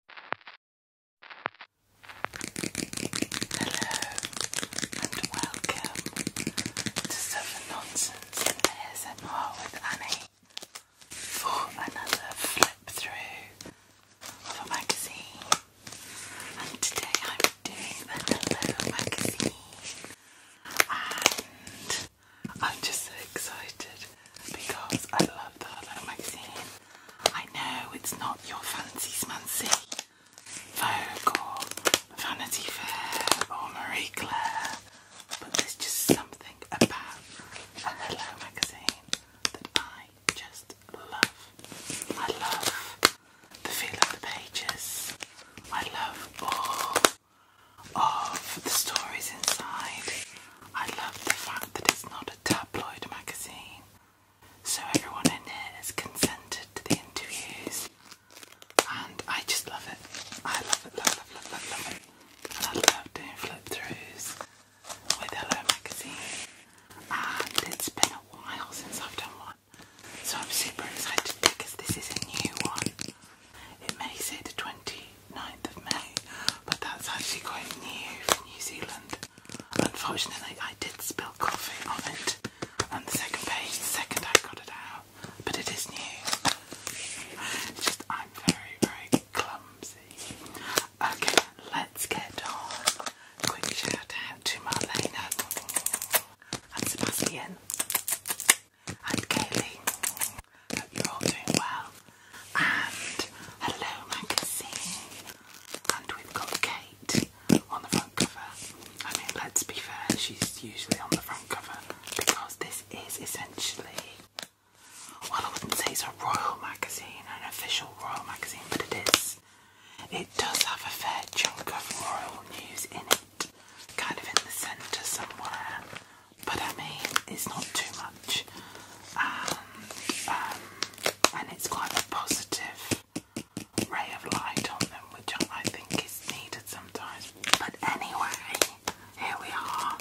Hello and welcome to Southern Nonsense and ASMR with Annie for another flip through of a magazine. And today I'm doing the Hello magazine and I'm just so excited because I love the Hello magazine. I know it's not your fancy smancy Vogue Vanity Fair or Marie Claire, but there's just something about a Hello magazine that I just love. I love the feel of the pages. I love all of the stories inside. I love the fact that it's not a tabloid magazine, so everyone in here has consented to the interviews, and I just love it. I love it, love, love, love, love, it. I love doing flip throughs with Hello Magazine, and it's been a while since I've done one, so I'm super excited because this is a new one. It may say the 29th of May, but that's actually quite new for New Zealand. Unfortunately, I did spill coffee on it on the second page the second I got it out, but it is new. just I'm very, very clumsy. Okay, let's get on. Quick shout out to Marlena and Sebastian and Kaylee. Hope you're all doing well and Hello Magazine. And we've got Kate on the front cover. I mean, let's be fair, she's usually on the front cover because this is essentially, well, I wouldn't say it's a royal magazine, an official royal magazine, but it is. It does have a fair chunk of royal news in it, kind of in the centre somewhere. But I mean, it's not too much. Um, um, and, it's quite a positive ray of light on them, which I think is needed sometimes. But anyway, here we are,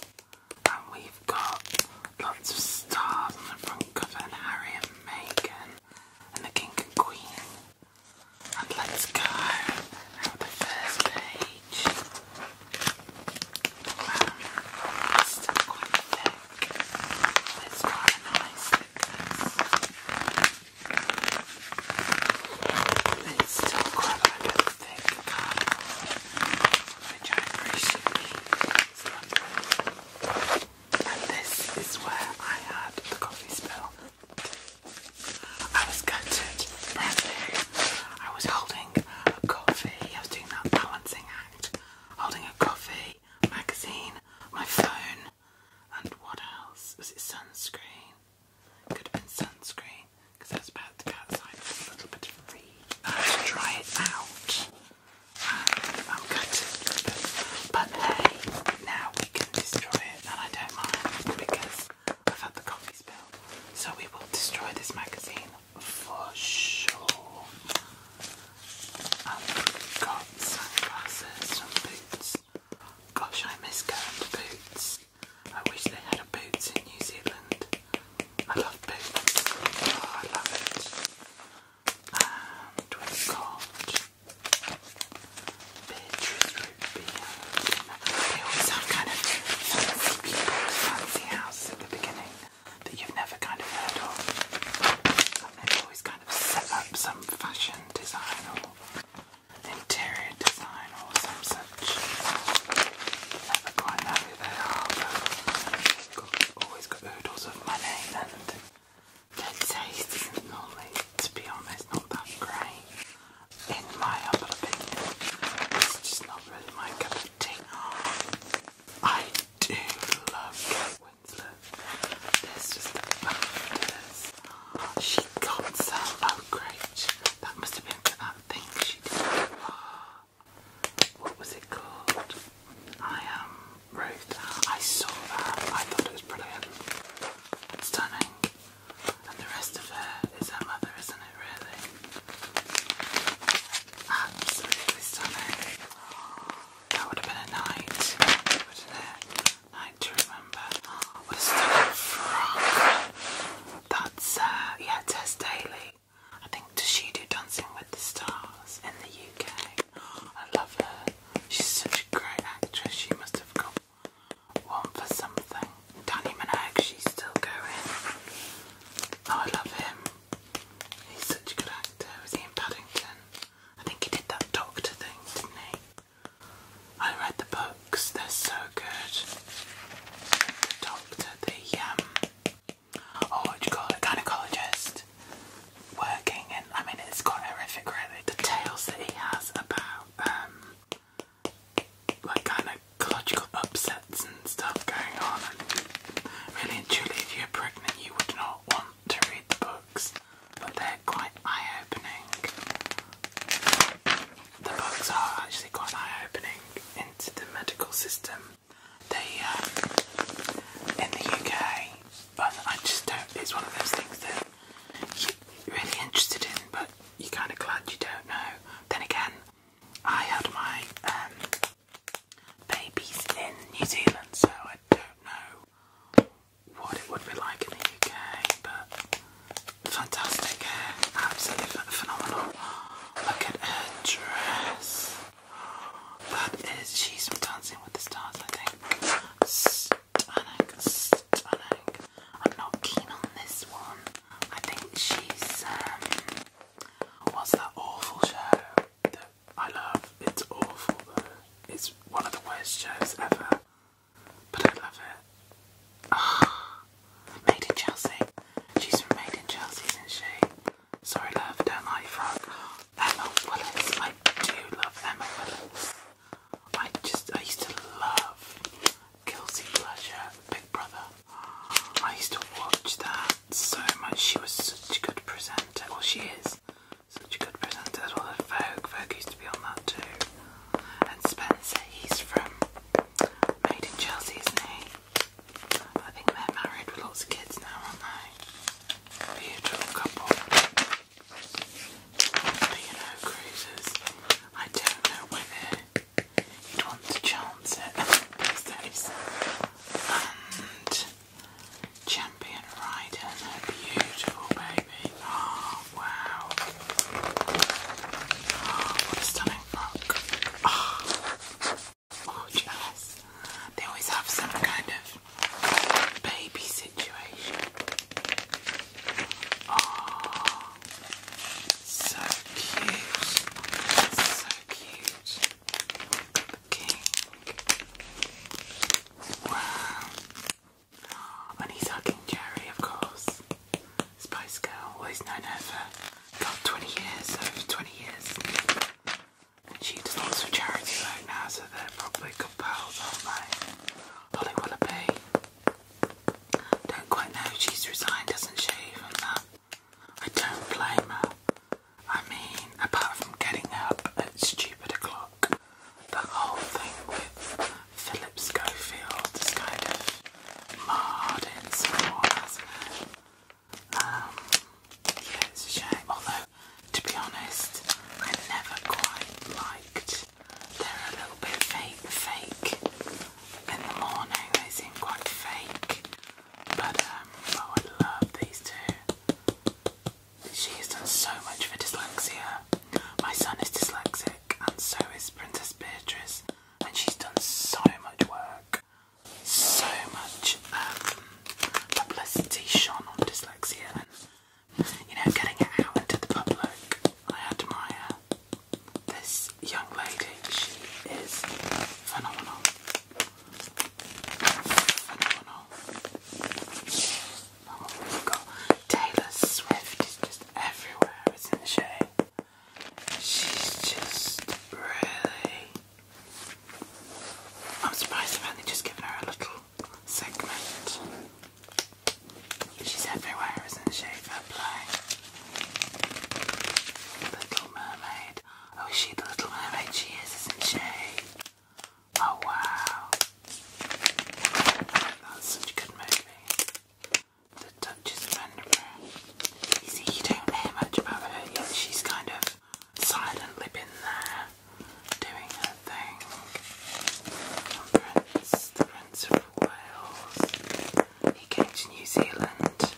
and we've got lots of stars on the front cover, and Harry and Meghan, and the King and Queen. And let's go at the first page it's still quite thick. It's quite nice It's still quite like a thick card, which and this is where I had the coffee spill. I was gutted, brand new. I was holding a coffee, I was doing that balancing act, holding a coffee, magazine, my phone, and what else? Was it sunscreen? Could have been sunscreen because I was about to go outside and have a little bit of read. I'll uh, try it out. And I'm going to, but hey, now we can destroy it, and I don't mind because I've had the coffee spill. So we will destroy this magazine for sure. I've got sunglasses and boots. Gosh, I miss going to Boots. I wish they had Boots in New Zealand. I love Boots. Oh, I love it. And we've got Beatrice They always have kind of fancy house at the beginning that you've never kind of heard of. And they've always kind of set up some fashion design or interior design or some such. Never quite know who they are, but always got oodles of money their taste is normally, to be honest, not that great. In my humble opinion, it's just not really my cup of tea. I do love Kate There's just the BAFTAs. She got so low That must have been that thing she did. What was it called? I am um, Ruth. I saw that. I thought it was brilliant. Stunning. And the rest of her is her mother, isn't it, really? absolutely stunning. That would uh, have been a night, Night to remember. What a stunning frock. That's, uh, yeah, Tess Daily. I think does she do Dancing with the Stars in the UK? I love her. She's such a great actress. She must have got one for something. Danny Minogue, she's still going. Oh, I love him. He's such a good actor. he in Paddington? I think he did that doctor thing, didn't he? I read the books, they're so good. The doctor, the um oh what do you call it? Gynecologist working in. I mean it's got horrific really. The tales that he has about um like gynecological upsets really and truly, if you're pregnant, you would not want to read the books, but they're quite eye opening. The books are actually quite eye opening into the medical system. They, um, in the UK, but I just don't, it's one of those things that you're really interested in, but you're kind of glad you don't know. Then again, I had my um, babies in New Zealand, so I don't know what it would be like in the UK, but fantastic hair, absolutely phenomenal. Look at her dress. That is, she's dancing with the stars, I think. Stunning, stunning. I'm not keen on this one. I think she's um, What's that awful show that I love? It's awful though. It's one of the worst shows ever. But I love it. Ah. Made in Chelsea. She's from Made in Chelsea, isn't she? Sorry, love, don't like frog. Emma Willis. I do love Emma Willis. I just, I used to love Guilty Pleasure, Big Brother. I used to watch that so much. She was such a good presenter. Well, she is such a good presenter as well. Vogue, Vogue used to be on that too. And Spencer, he's from Made in Chelsea, isn't he? I think they're married with lots of kids now, aren't they? Beautiful couple. But you know, cruisers, I don't know whether you'd want to chance it and Champion Rider, they beautiful, baby. Oh, wow. Ah, what a stunning book. Oh, ah, gorgeous. They always have some kind of baby situation. Oh, so cute cute. King. Wow. And he's hugging Jerry, of course. Spice Girl, well, known her for about 20 years, over 20 years. she does lots of charity work now, so they're probably good pals, aren't they? Holly Willoughby. Don't quite know, she's resigned, doesn't she, from that I don't blame her. I mean, apart from getting up at stupid o'clock, the whole thing with Philip Schofield is kind of marred in some wars. Um, yeah, it's a shame. Although, to be honest, I never quite liked. They're a little bit fake, fake. In the morning, they seem quite fake. But um, oh, I love these two. She has done so much for dyslexia. My son is dyslexic, and so is Princess Beatrice, and she's done so much work. So much um, publicity shone on dyslexia, and you know, getting it out into the public. I admire this young lady, she is phenomenal phenomenal. Oh, we've got Taylor Swift is just everywhere, isn't she? She's just really. I'm surprised I've only just given her a little segment. She's everywhere, isn't she? Fair Little Mermaid. Oh, she's she the little mermaid? She is, isn't she? Oh, wow. That's such a good movie. The Duchess of Edinburgh. You don't hear much about her yet. She's kind of silently been there doing her thing. And Prince, the Prince of Wales. He came to New Zealand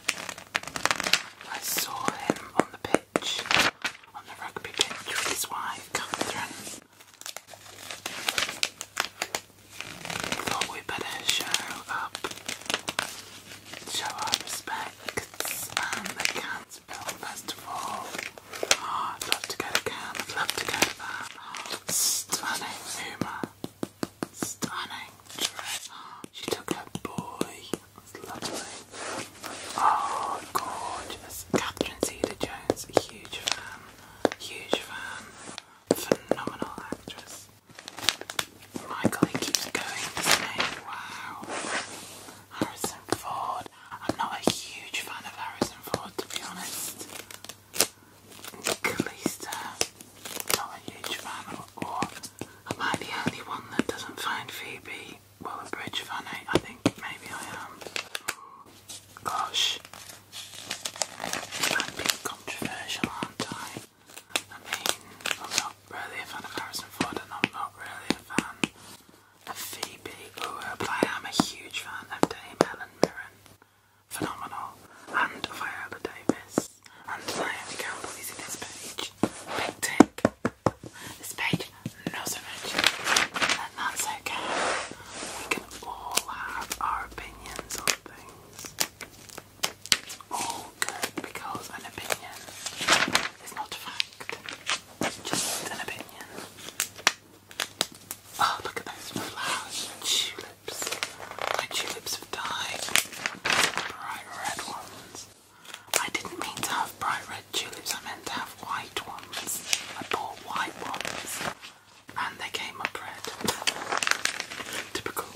I saw him on the pitch, on the rugby pitch his wife, Catherine. Thought we better show up, show our respects, and the Canterville Festival. Oh, love to go to Cam, love to go to stunning humour, stunning dress. She took her boy that's lovely. Oh, gorgeous. Catherine Zeta Jones, huge fan, huge fan, phenomenal actress. Michael, he keeps going, Wow. Harrison Ford. I'm not a huge fan of Harrison Ford, to be honest. Kalista, not a huge fan, or, or Am I the only one that doesn't find Phoebe well Waller-Bridge funny? I think maybe I am. Gosh. I'm being controversial, aren't I? I mean, I'm not really a fan of Harrison Ford and I'm not really a fan of Phoebe but I am a huge fan of Dame Helen Mirren. Phenomenal. And Viola Davis. I'm sorry, can believe in this page. This page, not so much. And that's okay. We can all have our opinions on things. It's all good because an opinion is not a fact. just an opinion. Oh, look at those flowers. Tulips. My tulips have died. Bright red ones. I didn't mean to have bright red tulips, I meant to have white ones. I bought white ones and they came up red. Typical.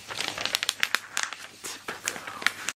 Typical.